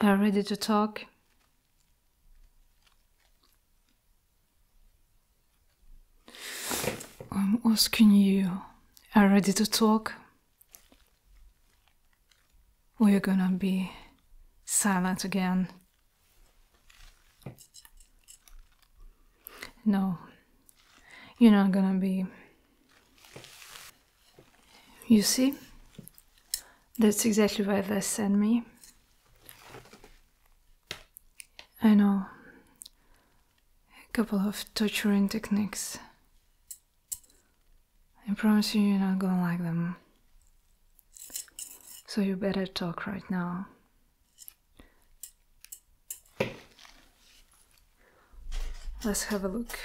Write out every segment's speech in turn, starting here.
are ready to talk. I'm asking you, are ready to talk? We're gonna be silent again. No, you're not gonna be. You see? That's exactly why they sent me. I know a couple of torturing techniques. I promise you, you're not gonna like them. So you better talk right now. Let's have a look.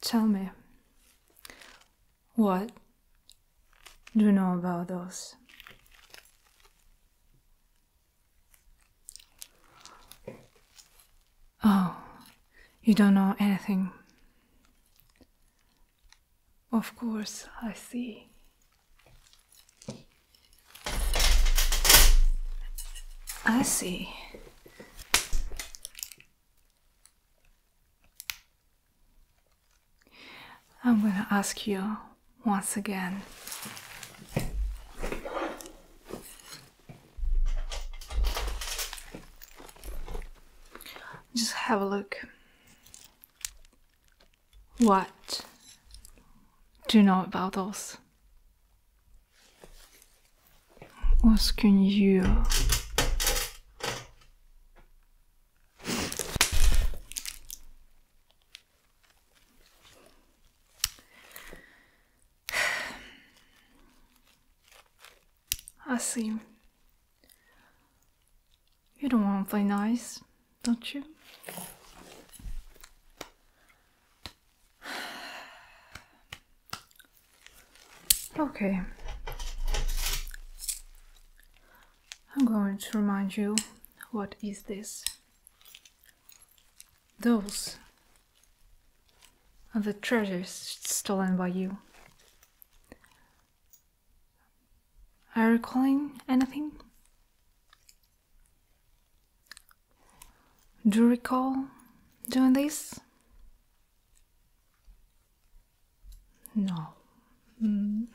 Tell me, what do you know about those? Oh, you don't know anything. Of course, I see. I see. I'm going to ask you once again. Just have a look. What do you know about us. What can you? I see. You don't want to play nice don't you? Okay. I'm going to remind you what is this. Those are the treasures stolen by you. Are you recalling anything? Do you recall doing this? No. Mm.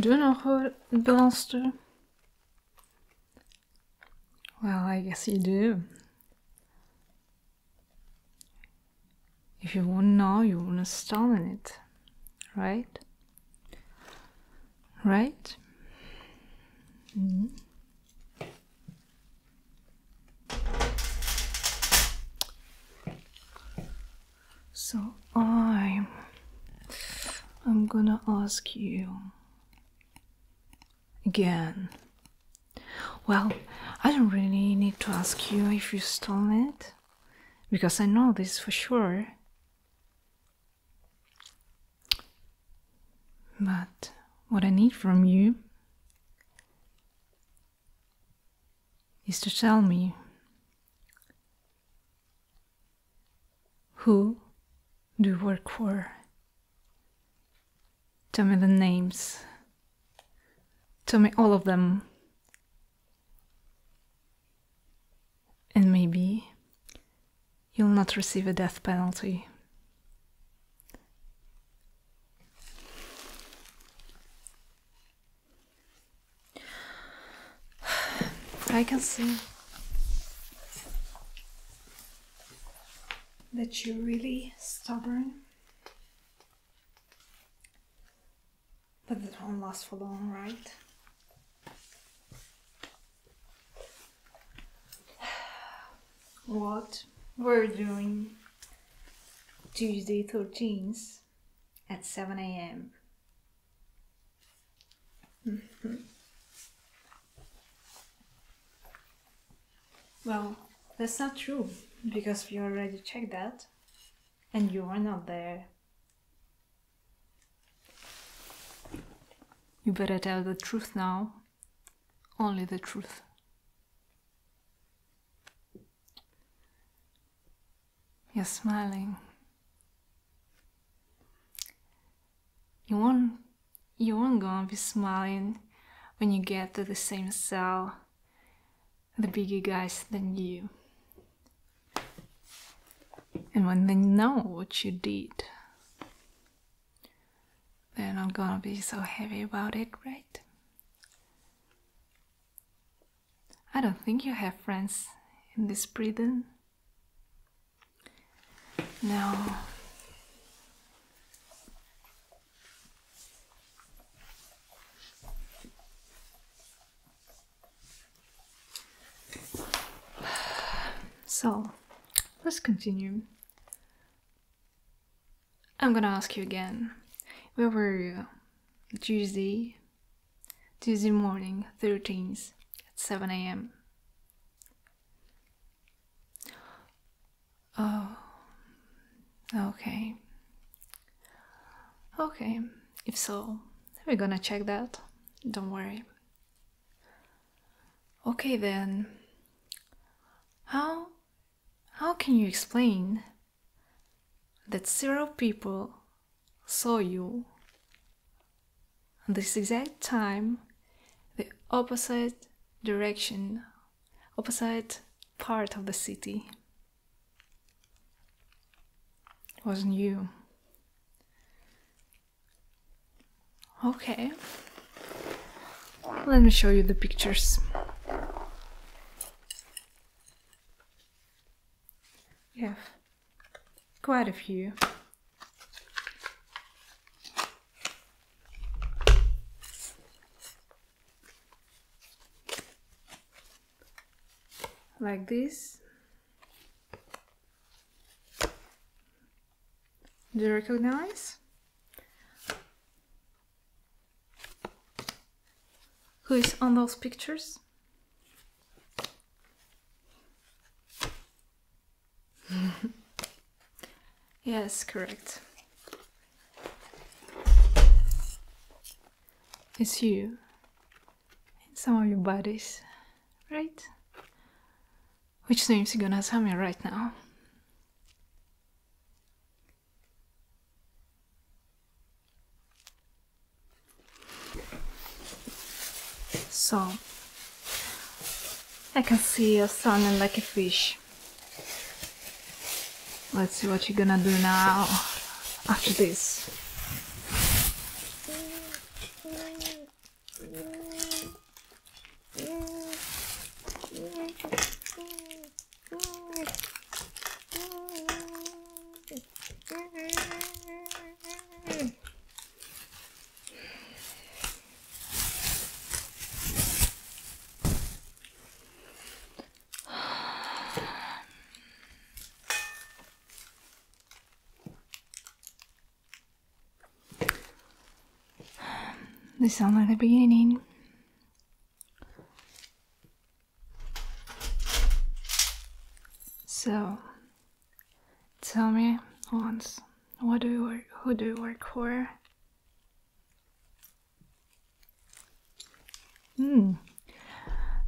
Do you know who it belongs to? Well, I guess you do. If you want to know, you wanna stall it, right? Right? Mm-hmm. So I'm I'm gonna ask you again. Well, I don't really need to ask you if you stole it because I know this for sure. But what I need from you is to tell me who do you work for? Tell me the names. Tell me all of them. And maybe you'll not receive a death penalty. I can see that you're really stubborn but it won't last for long, right? what we're doing Tuesday 13th at 7 a.m. Well, that's not true because we already checked that and you are not there. You better tell the truth now. Only the truth. You're smiling. You won't, you won't gonna be smiling when you get to the same cell the bigger guys than you. And when they know what you did, they're not gonna be so heavy about it, right? I don't think you have friends in this prison. No. So, let's continue. I'm gonna ask you again. Where were you? Tuesday, Tuesday morning, 13th, at 7 a.m. Oh, okay. Okay, if so, we're gonna check that. Don't worry. Okay then. How how can you explain that several people saw you at this exact time the opposite direction opposite part of the city. It wasn't you. Okay. Let me show you the pictures. We have quite a few like this do you recognize who is on those pictures Yes, correct. It's you in some of your bodies, right? Which names you gonna tell me right now? So I can see you're sounding like a fish. Let's see what you're gonna do now after this. This sounds like the beginning. So, tell me once, what do you work, who do you work for? Hmm.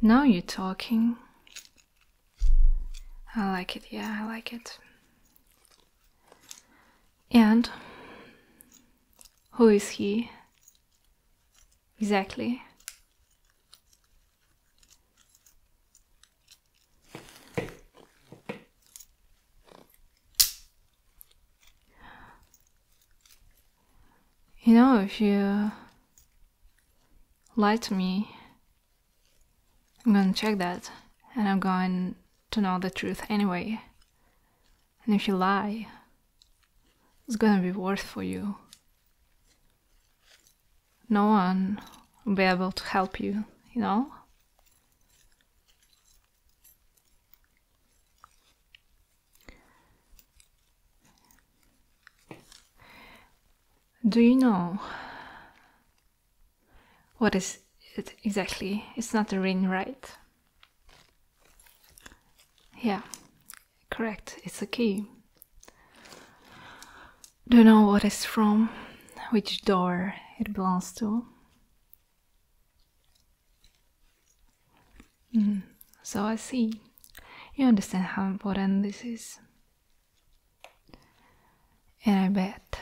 Now you're talking. I like it. Yeah, I like it. And who is he? Exactly. You know, if you lie to me, I'm gonna check that and I'm going to know the truth anyway. And if you lie, it's gonna be worse for you. No one will be able to help you, you know? Do you know what is it exactly? It's not a ring, right? Yeah, correct. It's a key. Do you know what it's from? Which door it belongs to? Mm-hmm. so I see. You understand how important this is. And I bet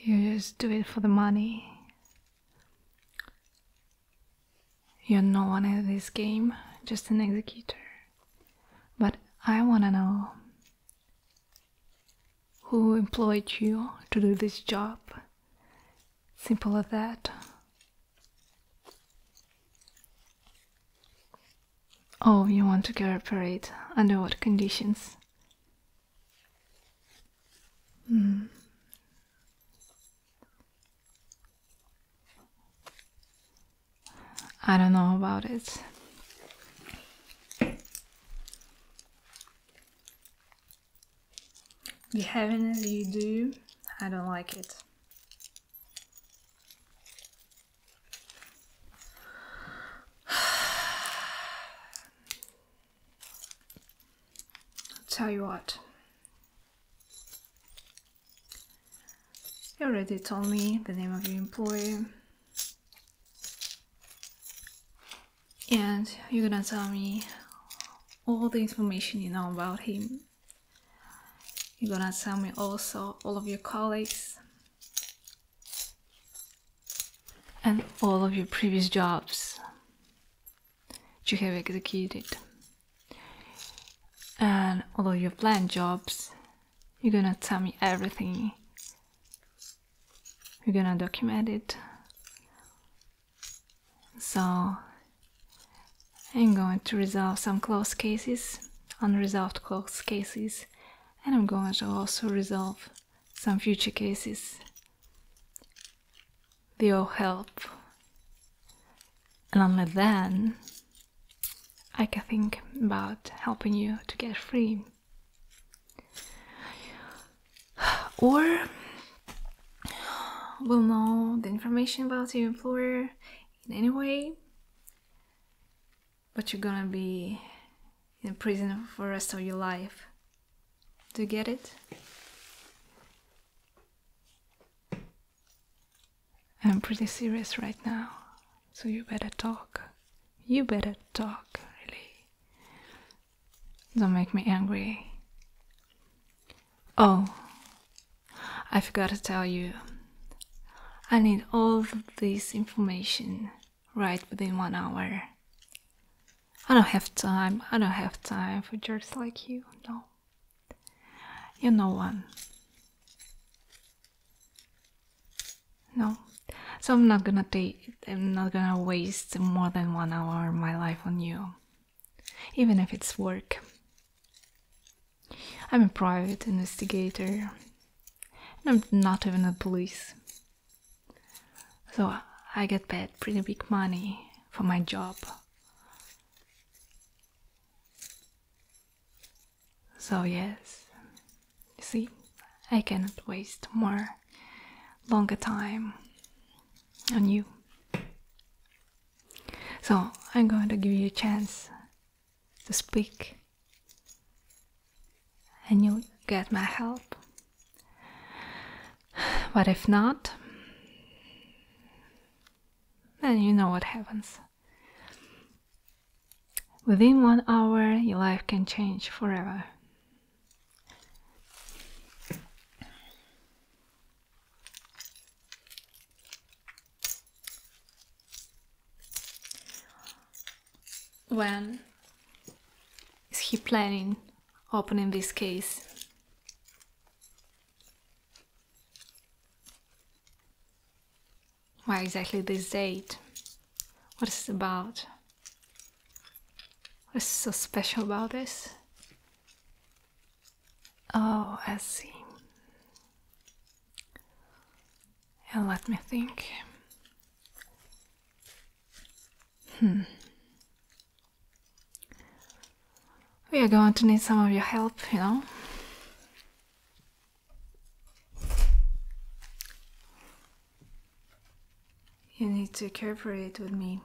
you just do it for the money. You're no one in this game, just an executor. But I wanna know who employed you to do this job? Simple as that. Oh, you want to cooperate under what conditions? Hmm. I don't know about it. The have you do. I don't like it. tell you what. You already told me the name of your employer and you're gonna tell me all the information you know about him. You're gonna tell me also all of your colleagues and all of your previous jobs you have executed and all of your planned jobs you're gonna tell me everything. You're gonna document it. So, I'm going to resolve some closed cases, unresolved closed cases, and I'm going to also resolve some future cases. They all help. And only then I can think about helping you to get free or will know the information about your employer in any way but you're gonna be in prison for the rest of your life do you get it i'm pretty serious right now so you better talk. You better talk, really. Don't make me angry. Oh, I forgot to tell you. I need all this information right within one hour. I don't have time. I don't have time for jerks like you. No. you know one. No, so I'm not gonna take. I'm not gonna waste more than one hour of my life on you, even if it's work. I'm a private investigator, and I'm not even a police. So I get paid pretty big money for my job. So, yes, see, I cannot waste more longer time on you. So, I'm going to give you a chance to speak, and you get my help. But if not, then you know what happens. Within one hour, your life can change forever. When is he planning opening this case? Why exactly this date? What is it about? What is so special about this? Oh, I see. And let me think. Hmm. We are going to need some of your help, you know? You need to cooperate with me.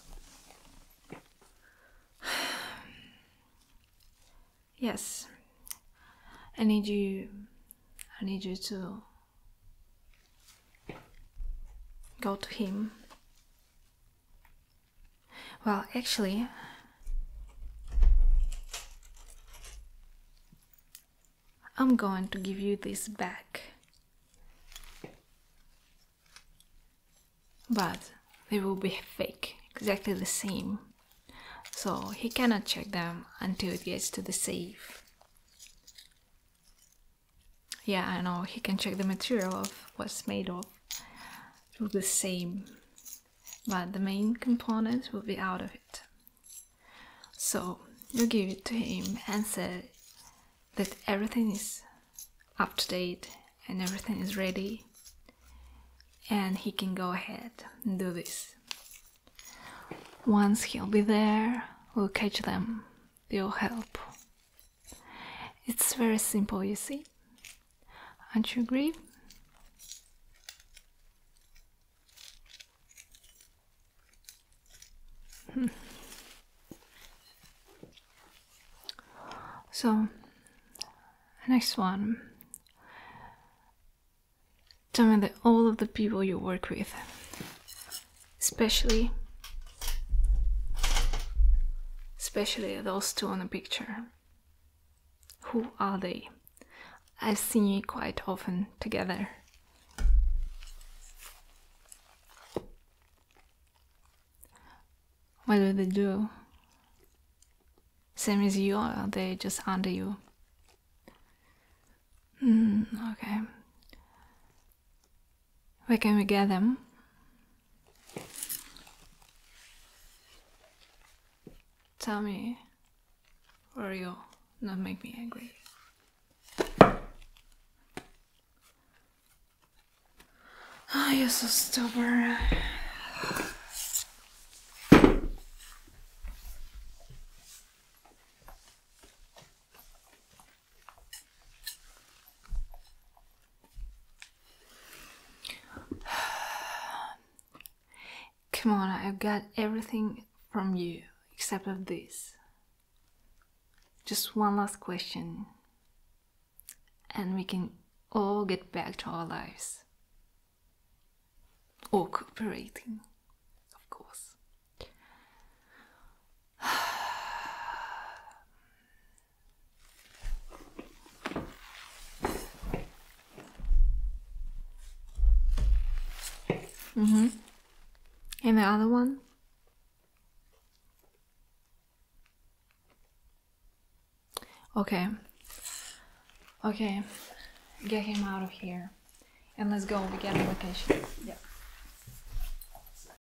yes, I need you. I need you to go to him well, actually, I'm going to give you this back. But they will be fake, exactly the same. So he cannot check them until it gets to the safe. Yeah, I know, he can check the material of what's made of will be the same but the main components will be out of it so you give it to him and say that everything is up to date and everything is ready and he can go ahead and do this once he'll be there we'll catch them they'll help it's very simple, you see. Aren't you agree? so, next one. Tell me that all of the people you work with, especially Especially those two on the picture. Who are they? I've seen you quite often together. What do they do? Same as you, or are they just under you? Mm, okay. Where can we get them? Tell me, or you'll not make me angry. Oh, you're so stubborn. Come on, I've got everything from you except of this. Just one last question, and we can all get back to our lives. Or cooperating, of course. Um, Mm-hmm. And the other one? Okay. Okay. Get him out of here. And let's go, we get a location. Yeah.